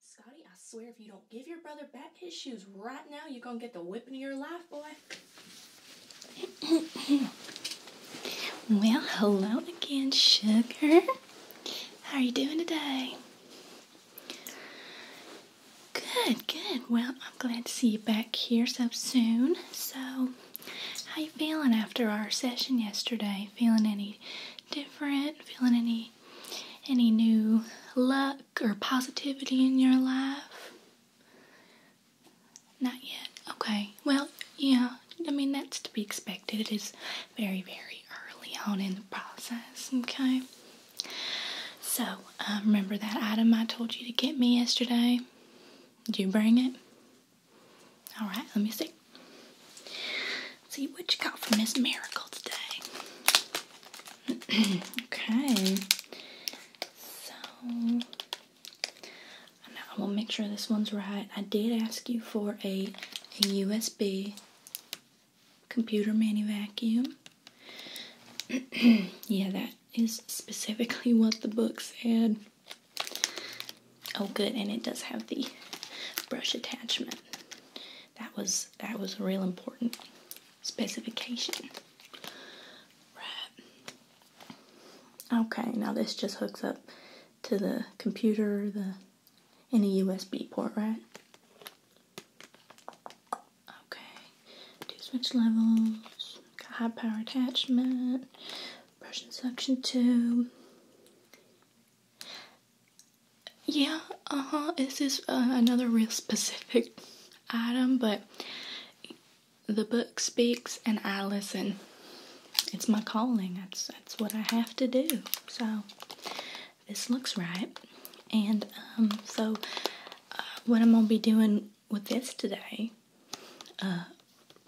Scotty, I swear if you don't give your brother back his shoes right now, you're gonna get the whipping of your life, boy. well, hello again, sugar. How are you doing today? Good, good. Well, I'm glad to see you back here so soon. So, how you feeling after our session yesterday? Feeling any different? Feeling any any new luck or positivity in your life? Not yet. Okay. Well, yeah. I mean, that's to be expected. It is very, very early on in the process, okay? So, um, remember that item I told you to get me yesterday? Did you bring it? Alright, let me see. see what you got from Miss Miracle today. okay. So, I want to make sure this one's right. I did ask you for a, a USB computer mini vacuum. yeah, that is specifically what the book said. Oh, good, and it does have the brush attachment. That was that was a real important specification. Right. Okay, now this just hooks up to the computer, the and a USB port, right? Okay, switch levels, got high power attachment, brush and suction tube. Yeah, uh huh. This is uh, another real specific item, but the book speaks and I listen. It's my calling. That's that's what I have to do. So this looks right. And um, so, uh, what I'm gonna be doing with this today uh,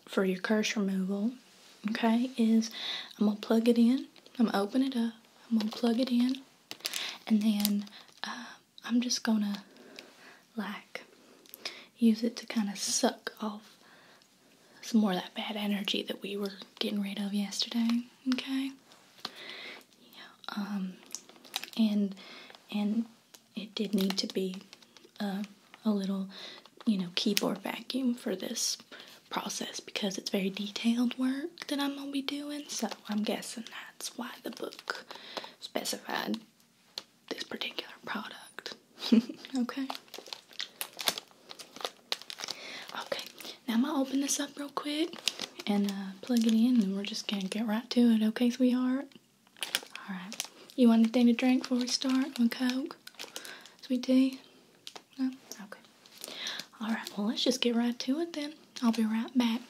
for your curse removal, okay, is I'm gonna plug it in. I'm gonna open it up. I'm gonna plug it in, and then uh, I'm just gonna like use it to kind of suck off some more of that bad energy that we were getting rid of yesterday. Okay. Yeah. Um, and and it did need to be uh, a little, you know, keyboard vacuum for this process because it's very detailed work that I'm gonna be doing. So I'm guessing that's why the book specified this particular product. okay. Okay, now I'm gonna open this up real quick and uh, plug it in, and we're just gonna get right to it, okay, sweetheart? Alright. You want anything to drink before we start? One Coke? Sweet tea? Okay. Alright, well, let's just get right to it then. I'll be right back.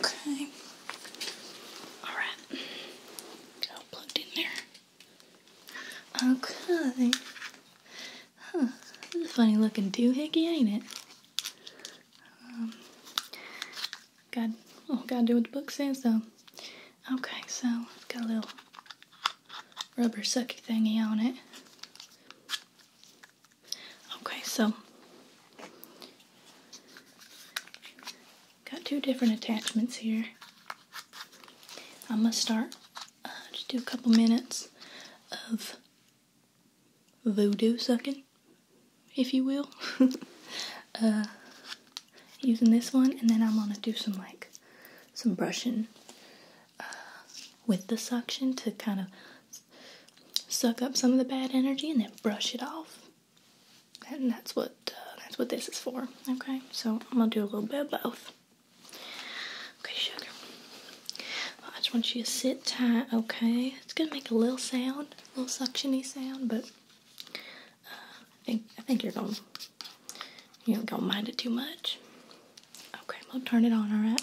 Okay. Alright. plugged in there. Okay. Huh. This is a funny looking doohickey, ain't it? Um, God, oh, gotta do what the book says though. Okay, so got a little rubber sucky thingy on it. Okay, so Got two different attachments here. I'm going to start, uh, just do a couple minutes of voodoo sucking, if you will. Uh, using this one, and then I'm going to do some, like, some brushing uh, with the suction to kind of suck up some of the bad energy and then brush it off and that's what uh, that's what this is for. Okay, so I'm gonna do a little bit of both. Okay, sugar. I just want you to sit tight. Okay, it's gonna make a little sound, a little suctiony sound, but uh, I think I think you're gonna you don't gonna mind it too much. Okay, I'm gonna turn it on. All right.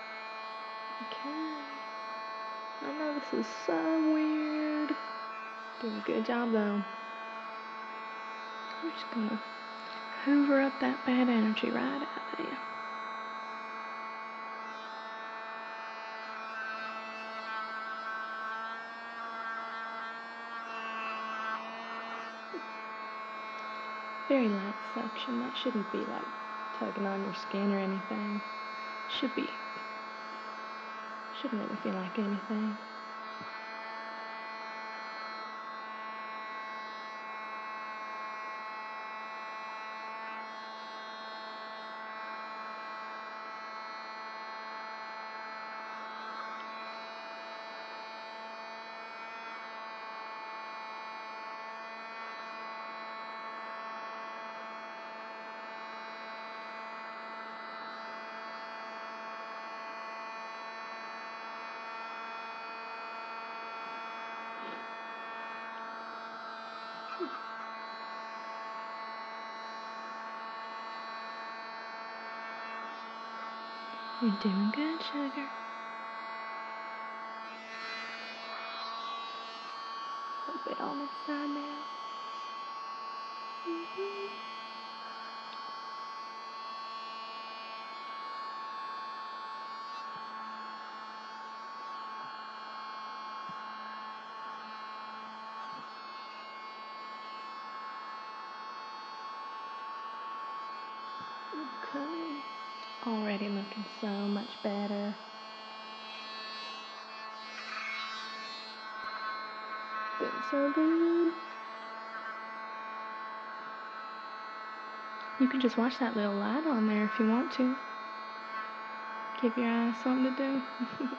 Okay. I know this is so weird. Doing a good job though. I'm just gonna hoover up that bad energy right out of you. Very light suction. That shouldn't be like tugging on your skin or anything. Should be. Shouldn't me feel like anything. You're doing good, sugar i little bit on this side now. Mm -hmm. Okay. Already looking so much better. Been so good. You can just watch that little lad on there if you want to. Give your eyes something to do.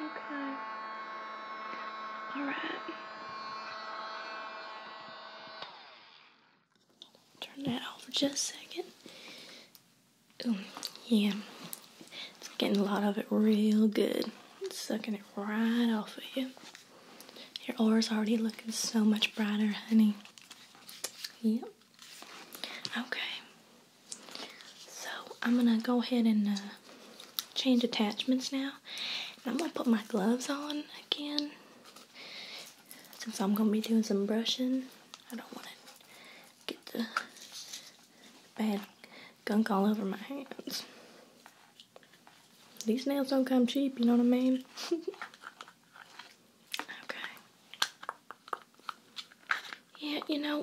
Okay. All right. Turn that off for just a second. Ooh, yeah. It's getting a lot of it real good. sucking it right off of you. Your aura's already looking so much brighter, honey. Yep. Okay. So I'm gonna go ahead and uh, change attachments now. I'm gonna put my gloves on again since I'm gonna be doing some brushing. I don't want to get the bad gunk all over my hands. These nails don't come cheap, you know what I mean? okay. Yeah, you know,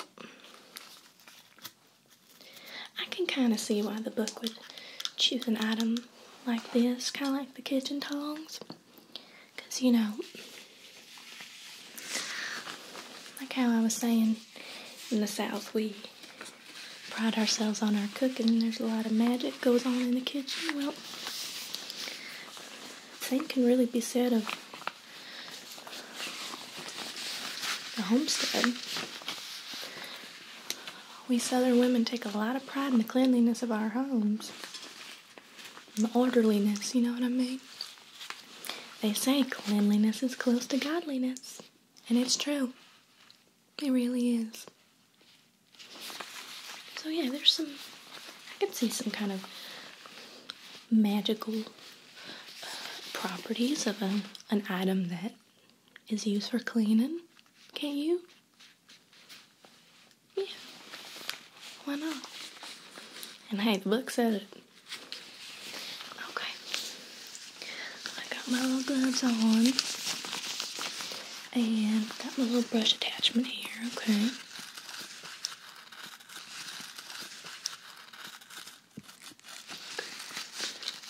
I can kind of see why the book would choose an item like this, kind of like the kitchen tongs. Because, you know, like how I was saying, in the South, we pride ourselves on our cooking. There's a lot of magic goes on in the kitchen. Well, same can really be said of the homestead. We southern women take a lot of pride in the cleanliness of our homes. The orderliness, you know what I mean? They say cleanliness is close to godliness. And it's true. It really is. So yeah, there's some I could see some kind of magical properties of a, an item that is used for cleaning, can't you? Yeah. Why not? And hey, the book said it. Okay. I got my little gloves on. And got my little brush attachment here, okay.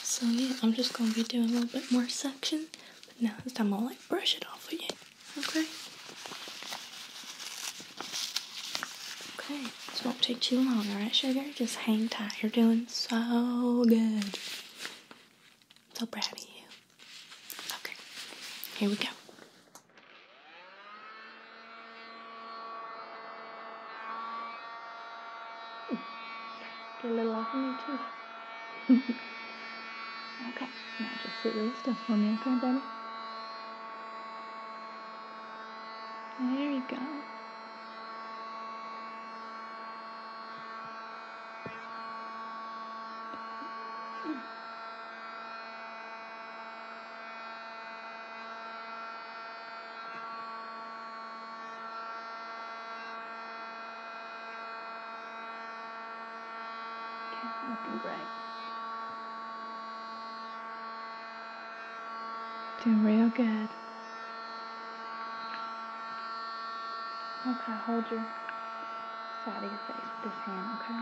So yeah, I'm just gonna be doing a little bit more section, but now this time I'll like brush it off again. Okay. Okay, this won't take too long, alright, sugar? Just hang tight. You're doing so good. so proud of you. Okay, here we go. Get a little off of me too. okay, now just sit really still for me, okay, baby? There you go looking great. Doing real good. Okay, hold your side of your face with this hand, okay?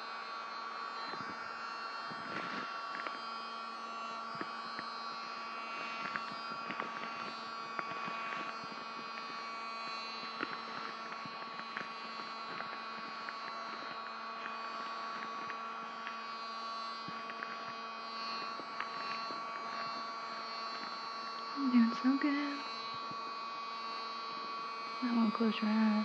I'm Doing so good. I won't close your eyes.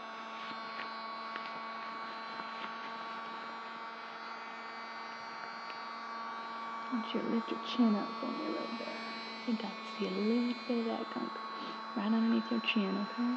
I want you to lift your chin up for me a little bit. You got to see a little bit of that gunk right underneath your chin, okay?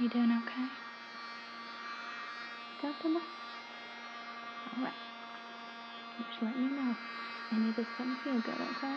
You doing okay? Comfortable? Alright. Just let me know. And you just doesn't feel good, okay?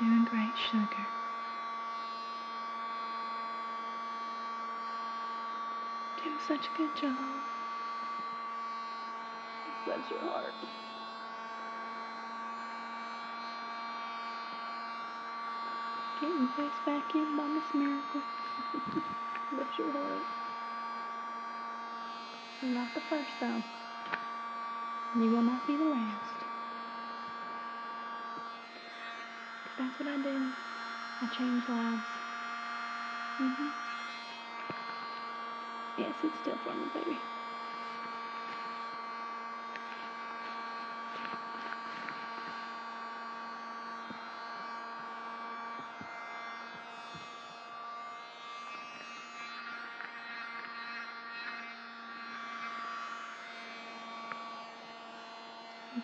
Doing great, sugar. Doing such a good job. Bless your heart. Getting your face back in by Miss Miracle. Bless your heart. Not the first though you will not be the last. Cause that's what I do. I change lives. Mm-hmm. Yes, it's still for me, baby.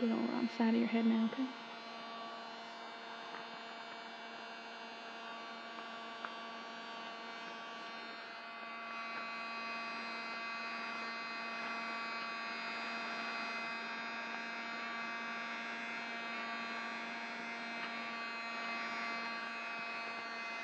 Get all on the side of your head now, okay?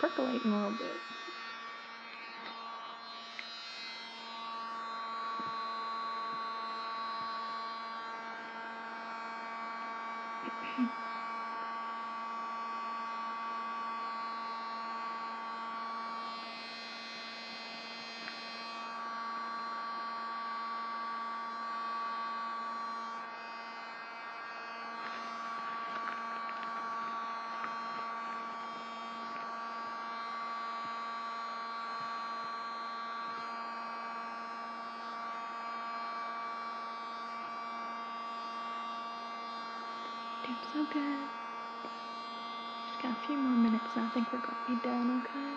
percolating a little bit. Doing so good. Just got a few more minutes and I think we're gonna be done, okay?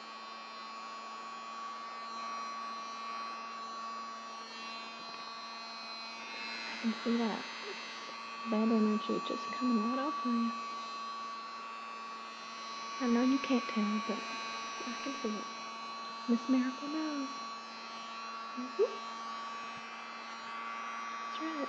I can see that bad energy just coming right off of you. I know you can't tell, but I can see it. Miss Miracle knows. Mm-hmm. That's right.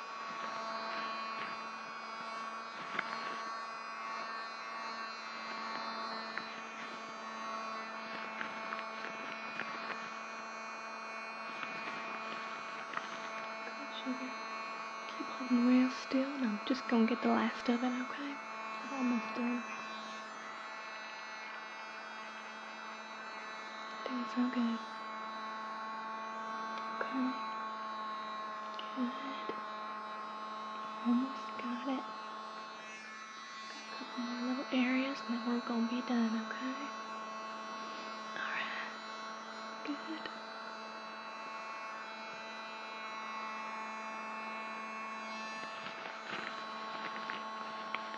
Keep holding real still, and I'm just gonna get the last of it, okay? I'm almost done. Things so good. Okay. Good. Almost got it. Got a couple more little areas and then we're gonna be done, okay? Alright. Good.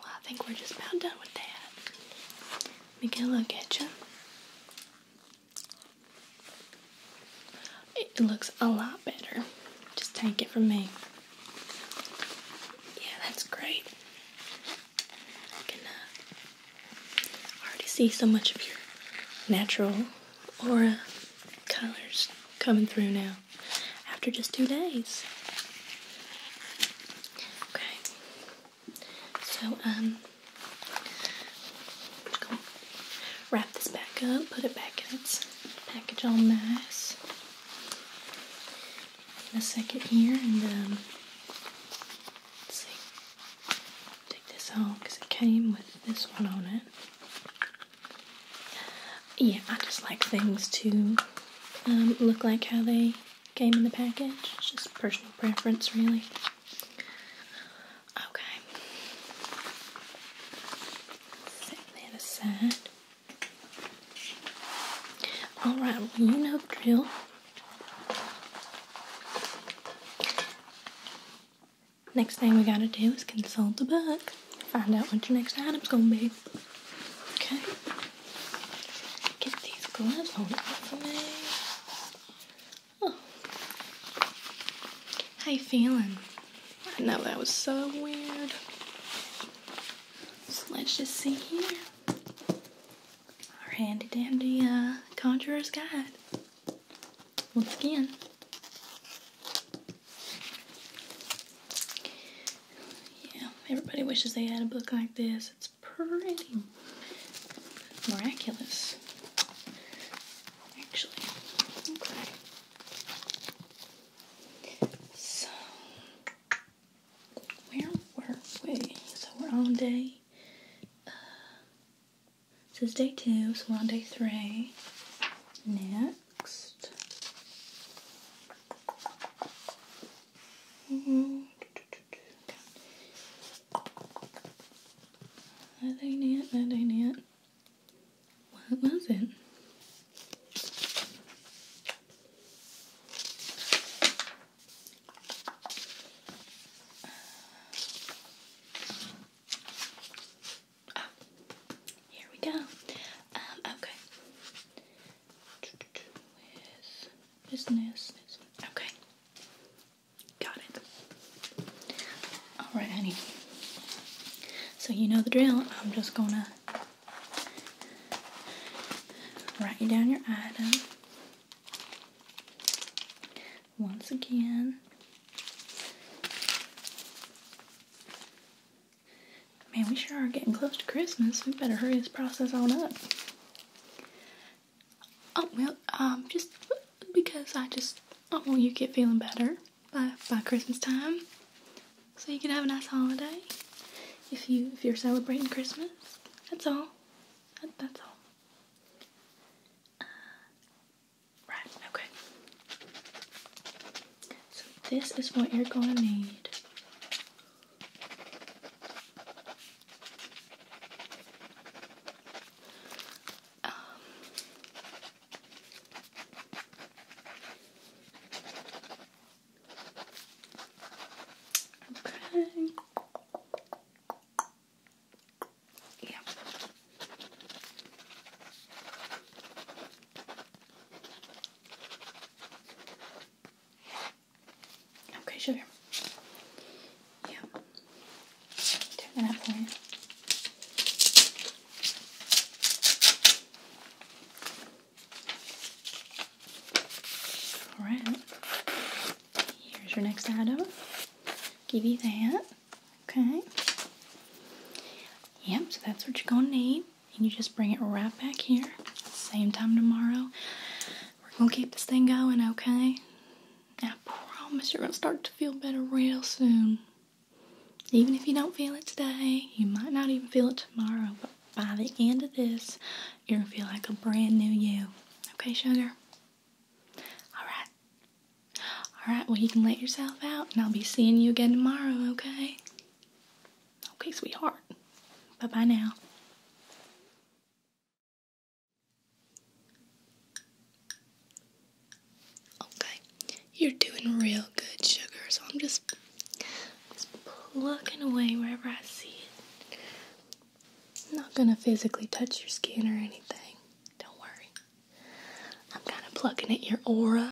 Well, I think we're just about done with that. Let me get a look at you. It looks a lot better. Just take it from me. Yeah, that's great. I can uh, already see so much of your natural aura colors coming through now after just two days. Okay. So, um, I'm just wrap this back up, put it back in its package all nice. In a second here, and then um, let's see, take this off because it came with this one on it yeah, I just like things to um, look like how they came in the package. It's just personal preference, really. Okay. Set that aside. Alright, well, you know drill. Next thing we gotta do is consult the book. Find out what your next item's gonna be. Okay. Get these gloves. Hold for me. Oh. How you feeling? I know that was so weird. So let's just see here. Our handy dandy uh, conjurer's guide. Once again, yeah, everybody wishes they had a book like this. It's pretty miraculous, actually. Okay. So, where were we? So, we're on day. Uh, day two, so we're on day three. Knit next. Mm -hmm. That ain't it, What was it? Here we go. Um, okay. With business. Okay. Got it. Alright, honey. So you know the drill. I'm just gonna write you down your item. Once again. Man, we sure are getting close to Christmas. We better hurry this process on up. Oh, well, um, just because I just, I want you to get feeling better by, by Christmas time. So you can have a nice holiday if, you, if you're celebrating Christmas. That's all. that's all. Uh, okay. So this is what you're gonna need. Um, okay. Yeah. Okay, sugar. Yeah. Turn that up Alright. Here's your next item. Give you that. Okay. Yep, so that's what you're gonna need and you just bring it right back here. Same time tomorrow. We're gonna keep this thing going, okay? I promise you're gonna start to feel better real soon. Even if you don't feel it today, you might not even feel it tomorrow, but by the end of this, you're gonna feel like a brand new you. Okay, sugar? Alright. Alright, well, you can let yourself out, and I'll be seeing you again tomorrow, okay? Okay, sweetheart. Bye bye now. Okay, you're doing real good, sugar. So I'm just, just plucking away wherever I see it. I'm not gonna physically touch your skin or anything. Don't worry. I'm kind of plucking at your aura.